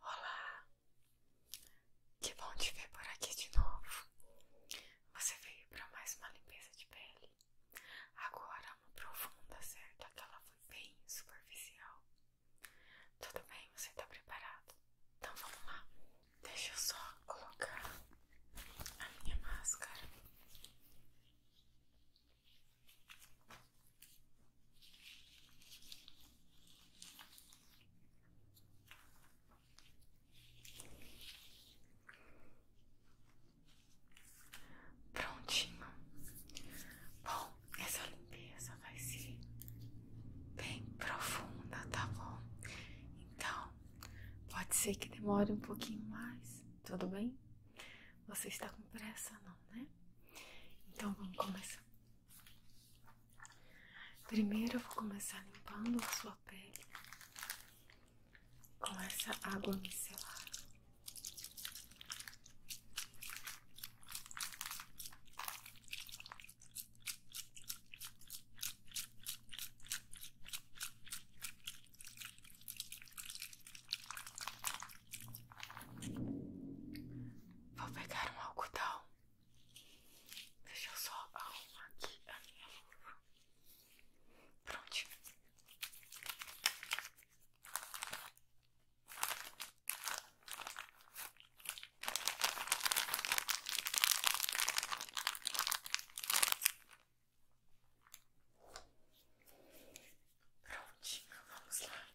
Olá! Que bom te ver por aqui de novo. Você veio para mais uma limpeza de pele. Agora uma profunda, certo? Aquela foi bem superficial. Tudo bem, você está preparado? Então vamos lá. Deixa eu só colocar a minha máscara. Prontinho. Bom, essa limpeza vai ser bem profunda, tá bom? Então, pode ser que demore um pouquinho mais, tudo bem? Você está com pressa, não, né? Então vamos começar. Primeiro eu vou começar limpando sua pele com essa água micelar. Vou pegar um algodão. Deixa eu só arrumar aqui a minha luva. Prontinho. Prontinho, vamos lá.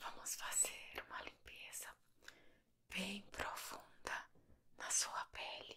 Vamos fazer uma limpeza bem profunda na sua pele.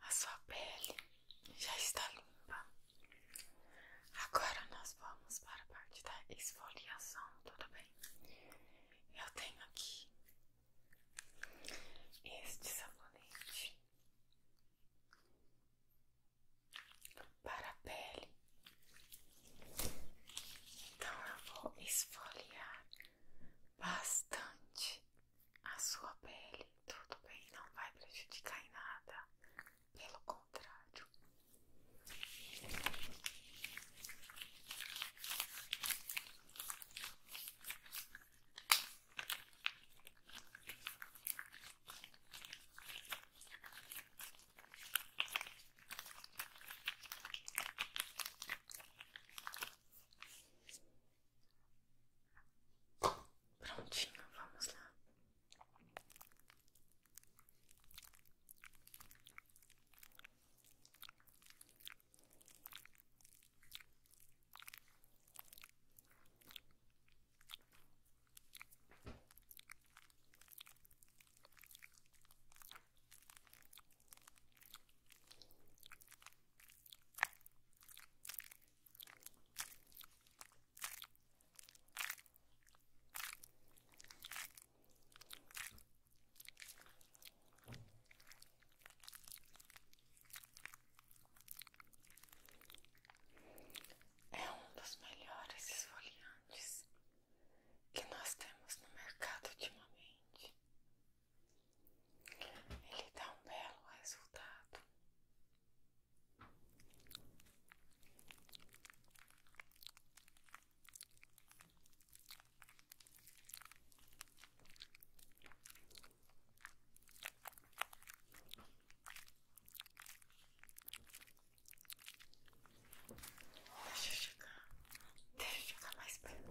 a sua pele já está limpa. Agora nós vamos para a parte da esfoliação, tudo bem? Eu tenho aqui este sabonete para a pele. Então eu vou esfoliar bastante a sua pele. Tudo bem, não vai prejudicar em nada. Pelo contrário. Prontinho, vamos lá. É um dos melhores esfoliantes que nós temos no mercado ultimamente. Ele dá um belo resultado. Deixa eu chegar, deixa eu chegar mais perto.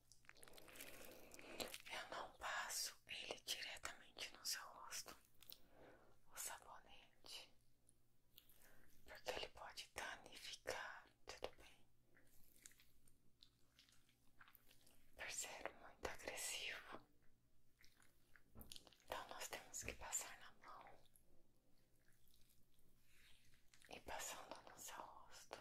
Eu não passo ele diretamente no seu rosto, o sabonete, porque ele pode danificar, tudo bem? Percebo muito agressivo. Então nós temos que passar na mão e passando no seu rosto.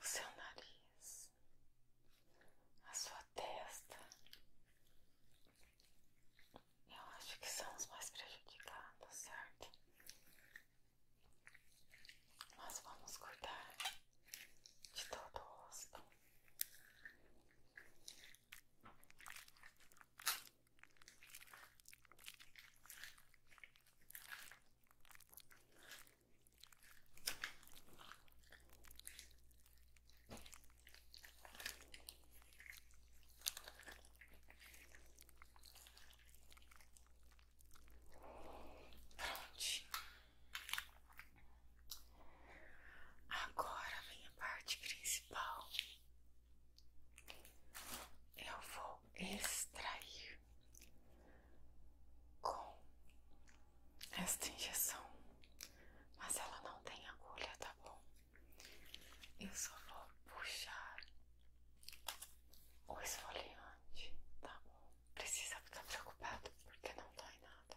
o seu nariz, a sua testa. Eu acho que são os mais prejudicados, certo? Mas vamos cuidar de todo o rosto. Prontinho. Agora vem a parte principal eu vou extrair com esta injeção, mas ela não tem agulha, tá bom? Eu só vou puxar o esfoliante, tá bom? Precisa ficar preocupado porque não dói nada.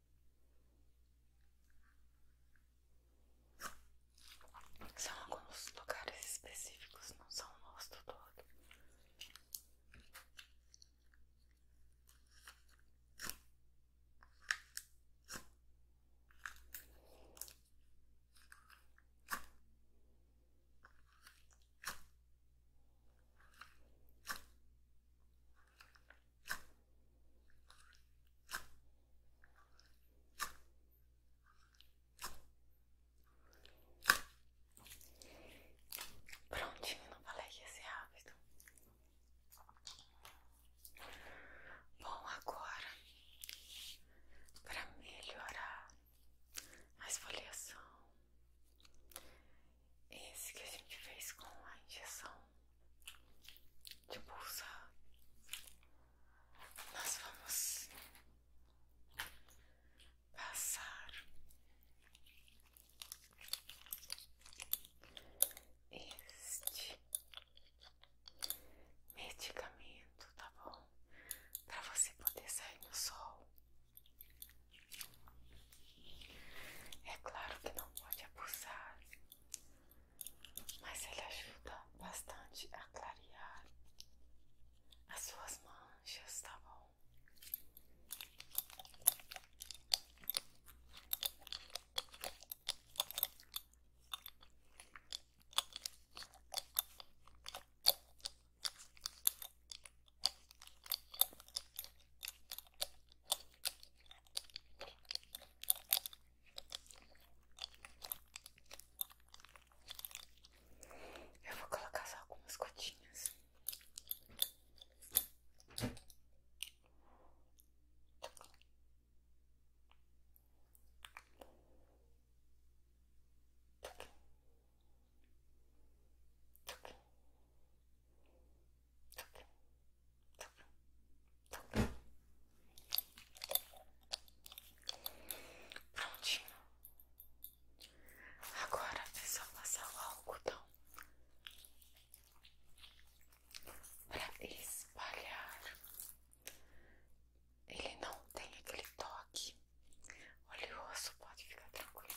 São alguns lugares específicos, não são o rosto todo. Prontinho, não falei que ia ser rápido. Bom, agora para melhorar a esfoliação, esse que a gente fez com a injeção de bolsa, nós vamos passar este medicamento, tá bom? Para você poder sair no sol. É claro que não pode abusar, mas ele ajuda bastante a clarear as suas manchas, tá bom? Eu vou colocar só algumas gotinhas. Prontinho. Agora é só passar o algodão para espalhar. Ele não tem aquele toque oleoso, pode ficar tranquilo.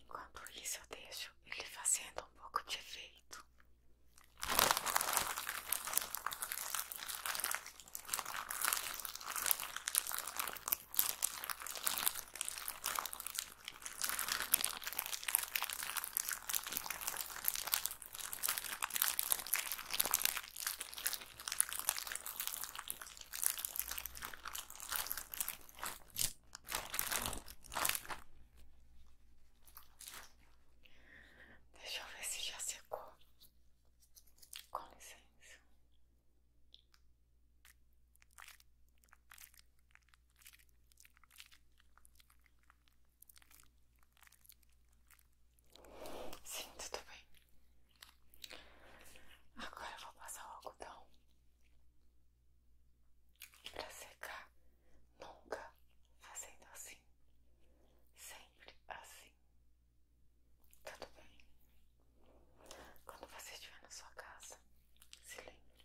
Enquanto isso, eu deixo ele fazendo um pouco de efeito. Deixa eu ver se já secou. Com licença. Sim, tudo bem. Agora eu vou passar o algodão para secar. Nunca fazendo assim, sempre assim. Tá tudo bem. Quando você estiver na sua casa, se lembre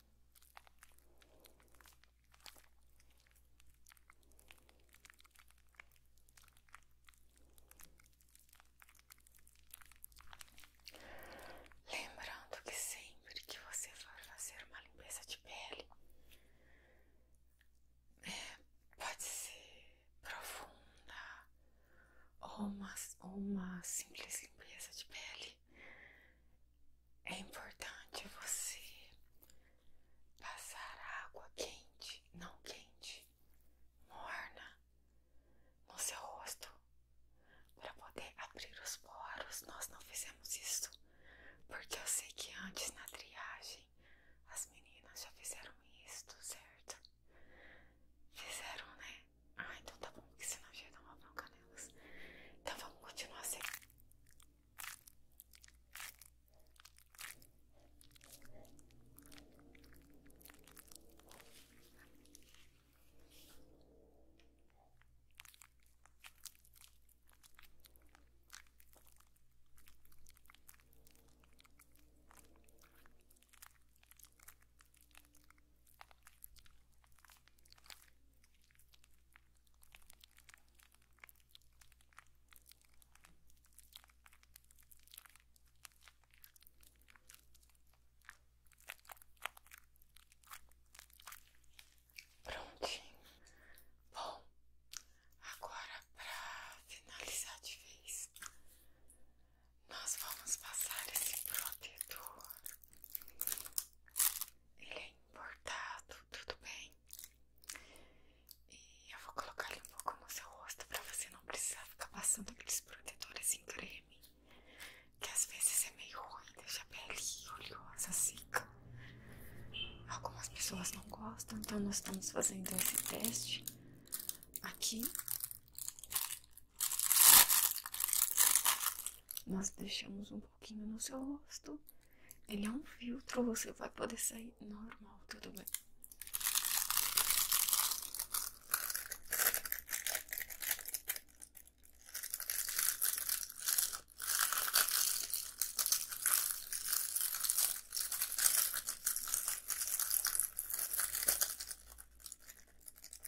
Lembrando que sempre que você for fazer uma limpeza de pele, é, pode ser profunda ou uma simples limpeza de pele, é importante você passar água quente, não quente, morna no seu rosto para poder abrir os poros. Nós não fizemos isso porque eu sei que antes na triagem as meninas já fizeram isso, certo? Fizeram, né? ai ah, então tá bom, que senão já dá uma bronca nelas. Então vamos continuar assim. Prontinho. Bom, agora para finalizar de vez, nós vamos passar esse protetor ele é importado, tudo bem? E eu vou colocar ele um pouco no seu rosto para você não precisar ficar passando aqueles protetores em creme, que às vezes é meio ruim, deixa a pele oleosa, seca. Algumas pessoas não gostam, então nós estamos fazendo esse teste aqui nós deixamos um pouquinho no seu rosto. Ele é um filtro, você vai poder sair normal, tudo bem.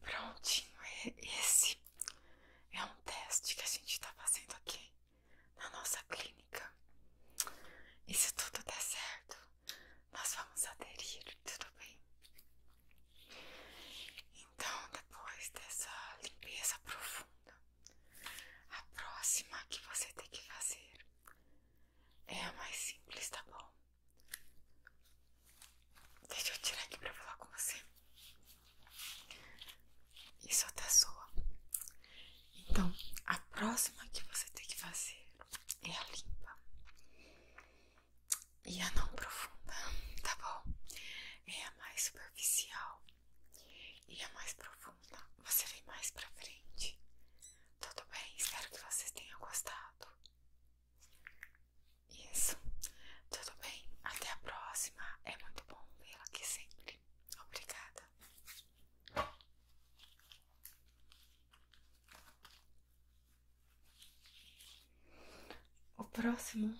Prontinho, é esse é um teste que a gente está fazendo aqui na nossa clínica. E se tudo der certo, nós vamos aderir, tudo bem? Então, depois dessa limpeza profunda, a próxima que você tem que fazer é a mais simples, tá bom? Deixa eu tirar aqui pra falar com você. Isso até soa. Então, a próxima que você tem que fazer é a limpa e a não profunda, tá bom? É a mais superficial e a mais profunda. Você vem mais pra frente. Tudo bem? Espero que vocês tenham gostado. Isso. Tudo bem. Até a próxima. É muito bom vê-la aqui sempre. Obrigada. O próximo.